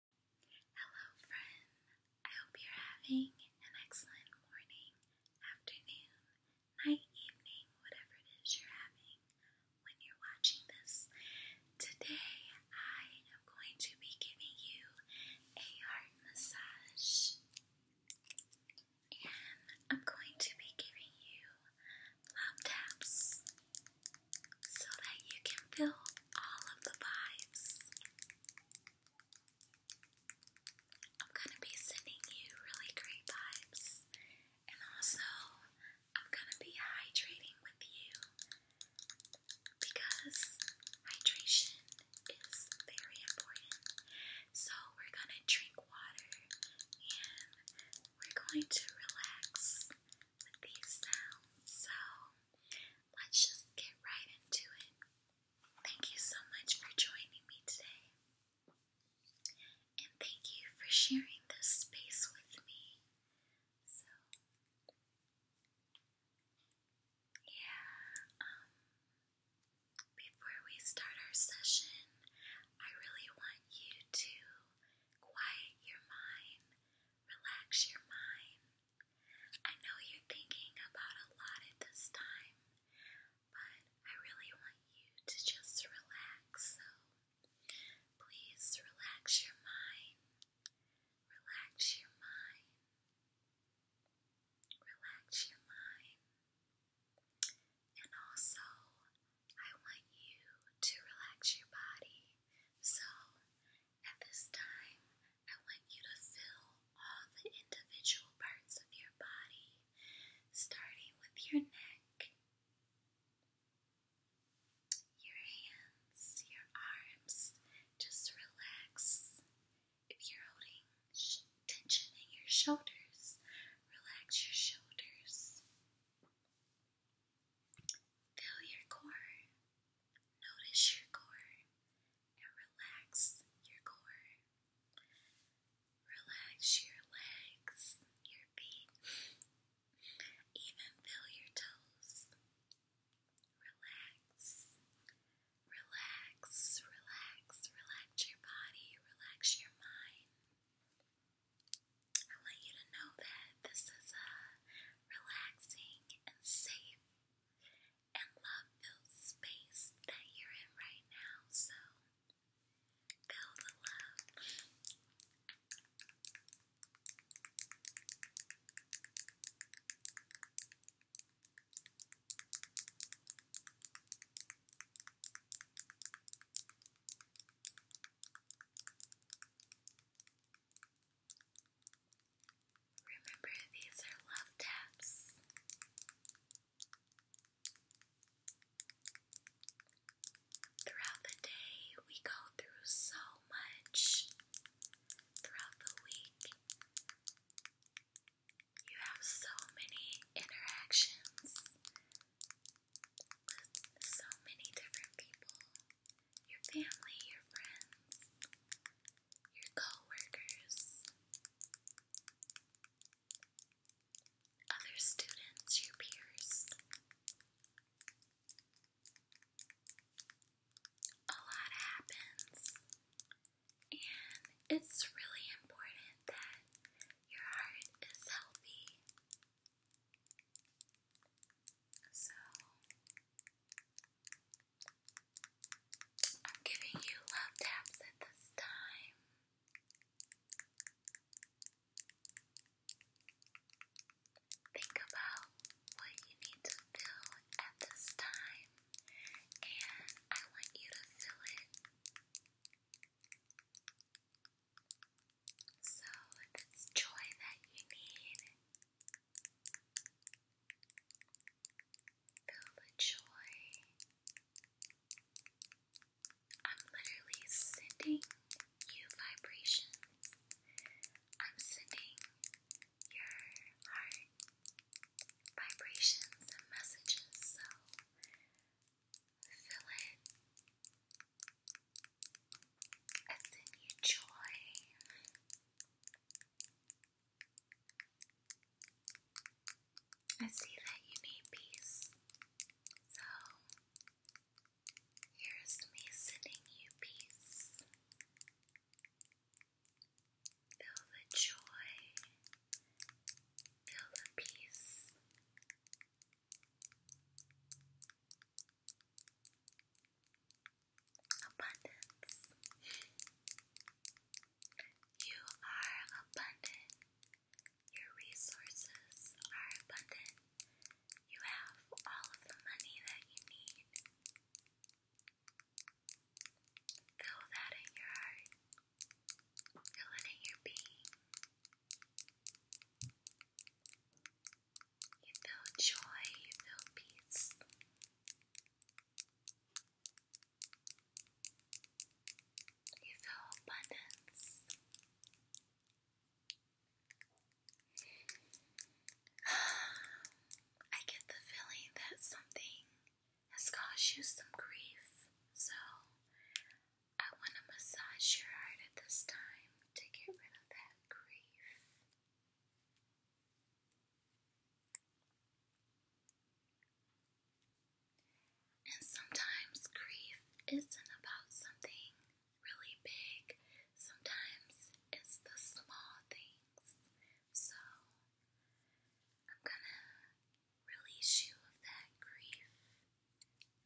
Hello, friend. I hope you're having an excellent morning, afternoon, night, evening, whatever it is you're having when you're watching this. Today, I am going to be giving you a heart massage. And I'm going to be giving you love taps so that you can feel all of the vibes. I'm going to be sending you really great vibes, and also I'm going to be hydrating with you because hydration is very important. So, we're going to drink water and we're going to relax these sounds. So let's just get right into it. Thank you so much for joining me today. And thank you for sharing this space with me. So, yeah, um, before we start our session, I really want you to quiet your mind, relax your mind, I know you're thinking about a lot at this time, but I really want you to just relax. So please relax your mind. Relax your mind. Relax your mind. And also, I want you to relax your body. So, at this time, I want you to feel all the individual parts of your body, starting with your neck, your hands, your arms. Just relax. If you're holding tension in your shoulders, relax your shoulders. Feel your core. Notice your core and relax your core. Relax your legs, your feet, even feel your toes. Relax, relax, relax, relax your body, relax your mind. I want you to know that this is a relaxing and safe and love fills the space that you're in right now. So feel the love. Remember, these are love taps. Throughout the day, we go through so much. Throughout the week, you have so many interactions with so many different people your family, your friends your coworkers, other students, your peers. A lot happens, and it's really important that your heart is healthy. So, I'm giving you love taps at this time. Think about what you need to feel at this time, and I want you to feel it. So, if joy that you need, Feel the joy. I'm literally sending you vibrations. I'm sending your heart vibrations and messages, so feel it. I send you joy. I see that you need peace, so here's me sending you peace. Feel the joy, feel the peace abundance. You are abundant. Your resources are abundant. You have all of the money that you need. Feel that in your heart. Feel it in your being. You feel joy, you feel peace. You feel abundance. I get the feeling that something has caused you some grief, so I want to massage your heart at this time to get rid of that grief. And sometimes grief isn't about something really big, sometimes it's the small things. So I'm gonna release you of that grief,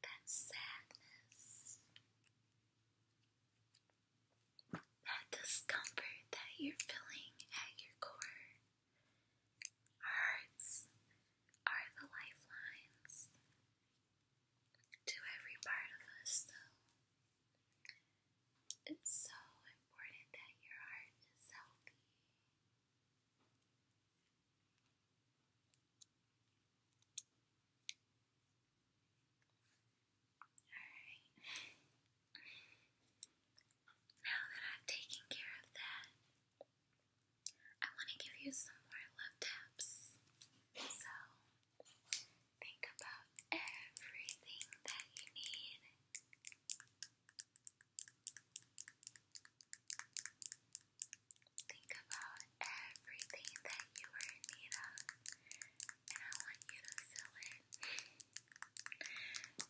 that sadness that discomfort that you're feeling at your core. hearts are the lifelines to every part of us, It's so important that your heart is healthy. Alright. Now that I've taken care of that, I want to give you some more love taps. So, think about everything that you need. Think about everything that you were in need of, and I want you to fill in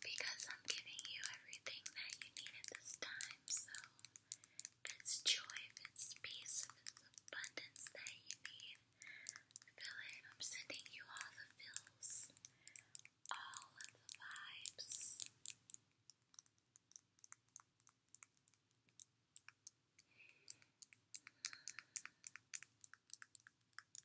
because I'm giving you everything that you need at this time. So, if it's joy, if it's peace, if it's abundance that you need, feel I'm sending you all the feels, all of the vibes.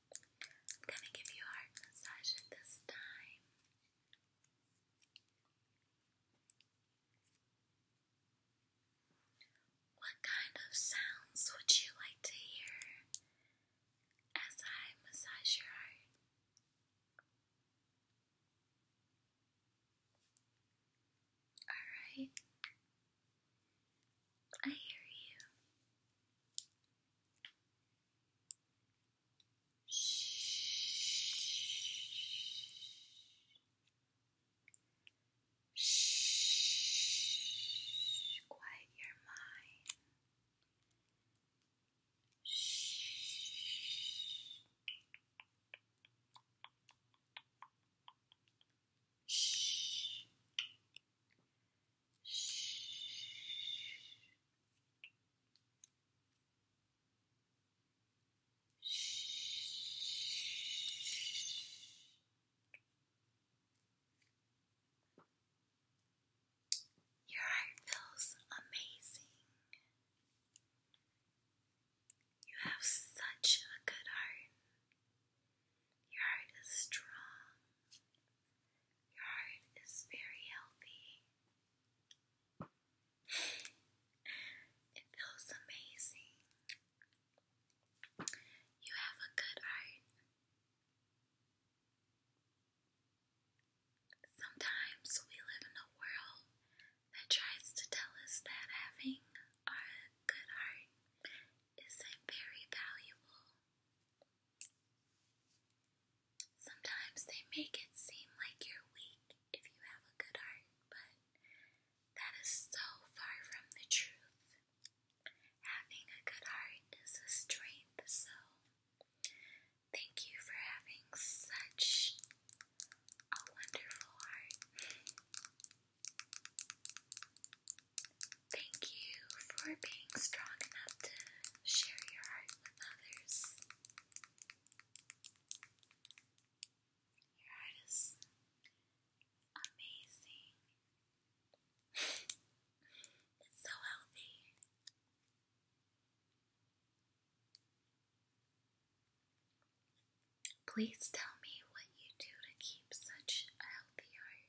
I'm gonna give you a heart massage this time. What kind of sounds would you like to hear as I massage your heart? Alright, I hear you. Shh. Quiet your mind. Shh. Shh. Shh. Your heart feels amazing. You have such a good heart. Your heart is strong your heart is very healthy. It feels amazing. You have a good heart. Sometimes we live in a world that tries to tell us that having our good heart is very valuable. Sometimes they make it seem like you're weak if you have a good heart, but that is so far from the truth. Having a good heart is a strength, so thank you for having such a wonderful heart. Thank you for being strong enough to share your heart with others. Your heart is amazing. it's so healthy. Please tell me what you do to keep such a healthy heart.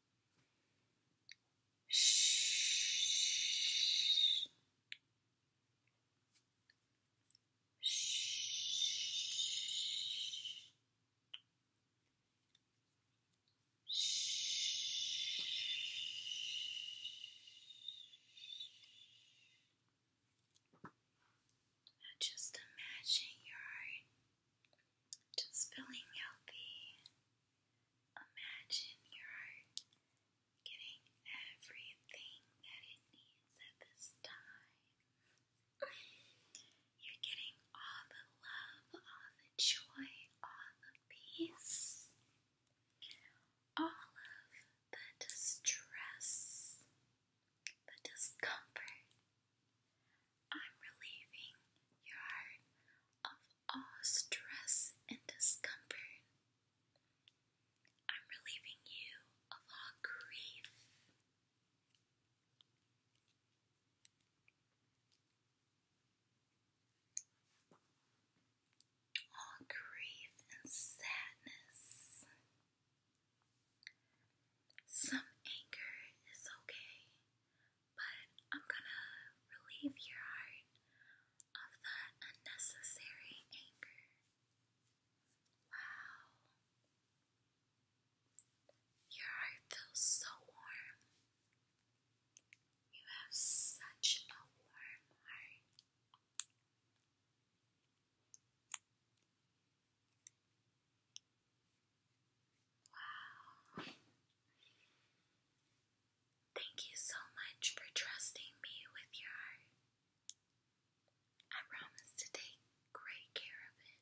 Shh. Shh. Now just imagine your just feeling healthy. Imagine your heart getting everything that it needs at this time. You're getting all the love, all the joy, all the peace, all of the distress, the discomfort, I'm relieving your of all stress and discomfort. I'm relieving you of all grief. All grief and sadness. Some anger is okay but I'm gonna relieve your heart of the unnecessary anger. Wow. Your heart feels so warm. You have such a warm heart. Wow. Thank you so much for trusting me with your heart. I promise to take great care of it.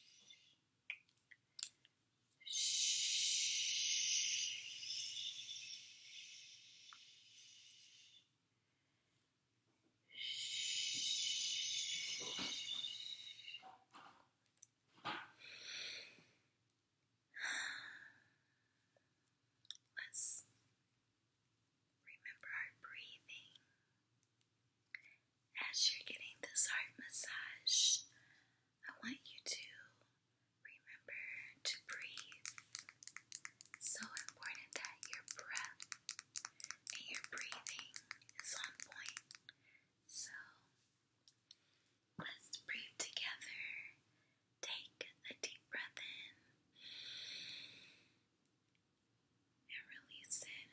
Let's remember our breathing as you're getting this heart massage, I want you to remember to breathe. So important that your breath and your breathing is on point. So let's breathe together. Take a deep breath in release it.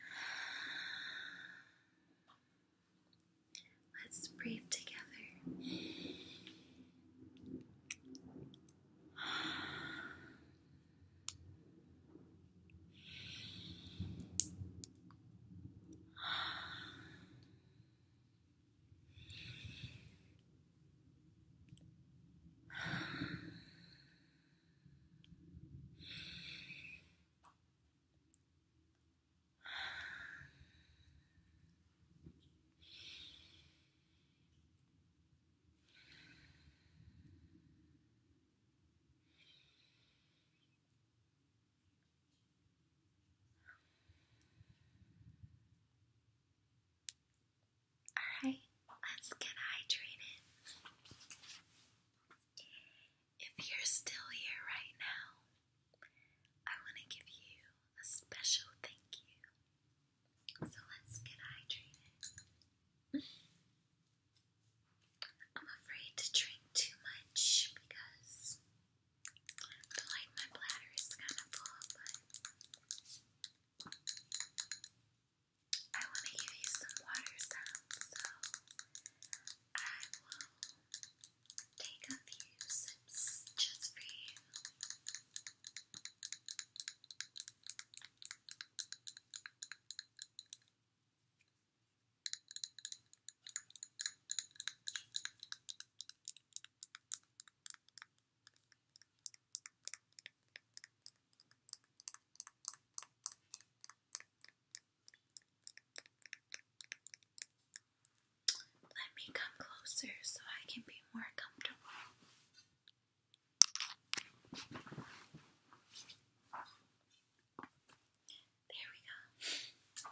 Let's breathe together. Alright, let's get hydrated. If you're still here right now, I want to give you a special thank you. So let's get hydrated. I'm afraid to drink too much because the my bladder is kind of full, but I want to give you some water sounds, so I will take a few sips just for you. Thank you let me come closer so I can be more comfortable. There we go.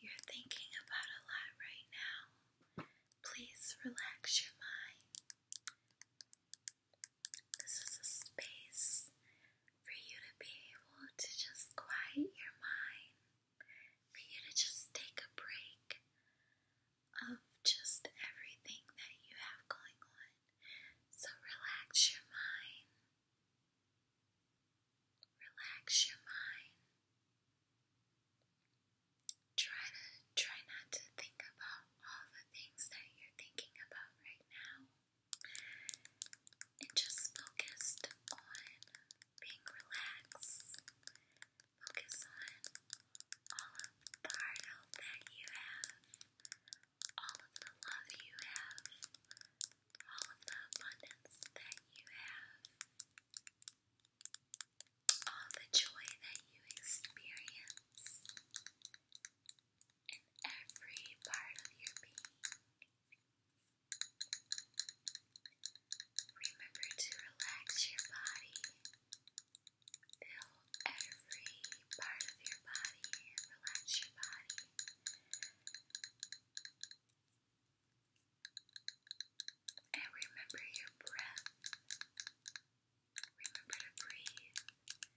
You're thinking about a lot right now. Please relax your mind. This is a space for you to be able to just quiet your mind for you to just take a break of just everything that you have going on. So relax your mind. Relax your mind. Try to try not to think about all the things that you're thinking about right now. And just focus on being relaxed Focus on all of the hard hope that you have, all of the love you have, all of the abundance that you have, all the joy that you experience in every part of your being. Remember to relax your body. Feel every part of your body. Relax your body. And remember your breath. Remember to breathe.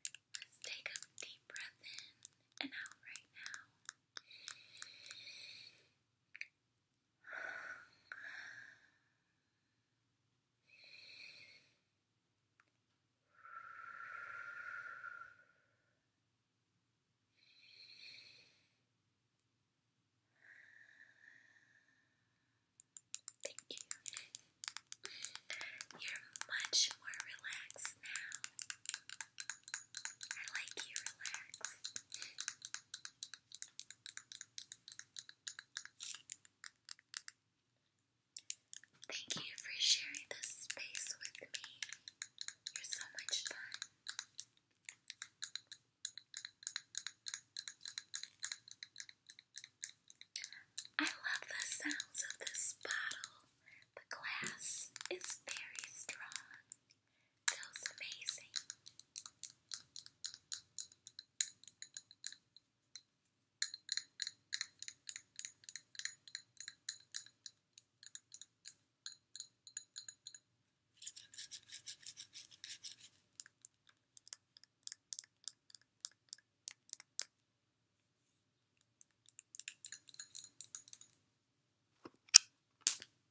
Let's take a deep breath in and out right now. Thank you. You're much more relaxed now. I like you relaxed. Thank you for sharing this space with me. You're so much fun. I love the sounds of this bottle. The glass is very strong feels amazing.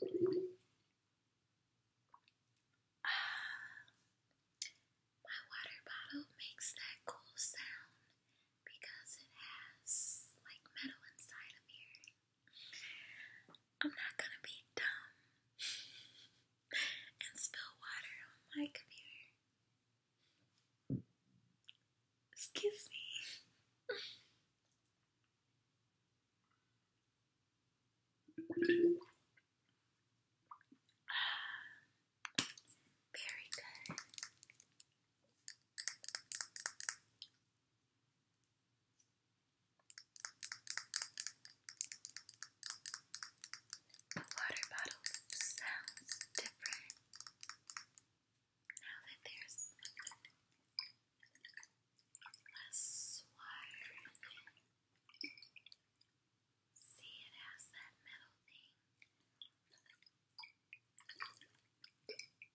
My water bottle makes that cool sound because it has like metal inside of here. I'm not gonna be dumb and spill water on my computer. Excuse me. very good. The water bottle sounds different now that there's less water See, it has that metal thing.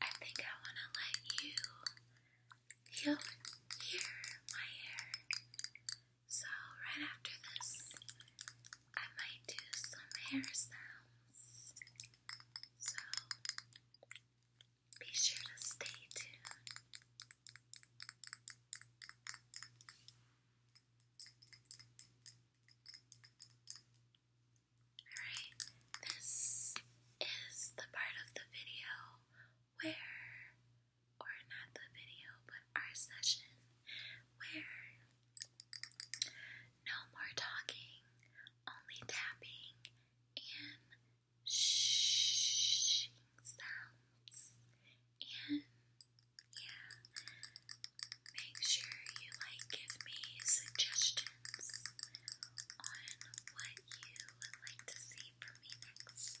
I think I want to let you heal my hair. So, right after this, I might do some hair So be sure to stay tuned. Alright, this is the part of the video where, or not the video, but our session where no more talking, only tapping and shh sounds. And yeah, make sure you like give me suggestions on what you would like to see from me next.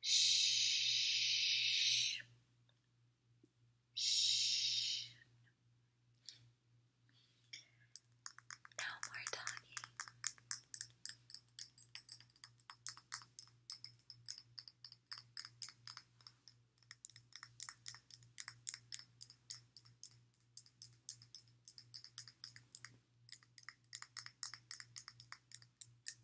Shh. Shh. No more talking.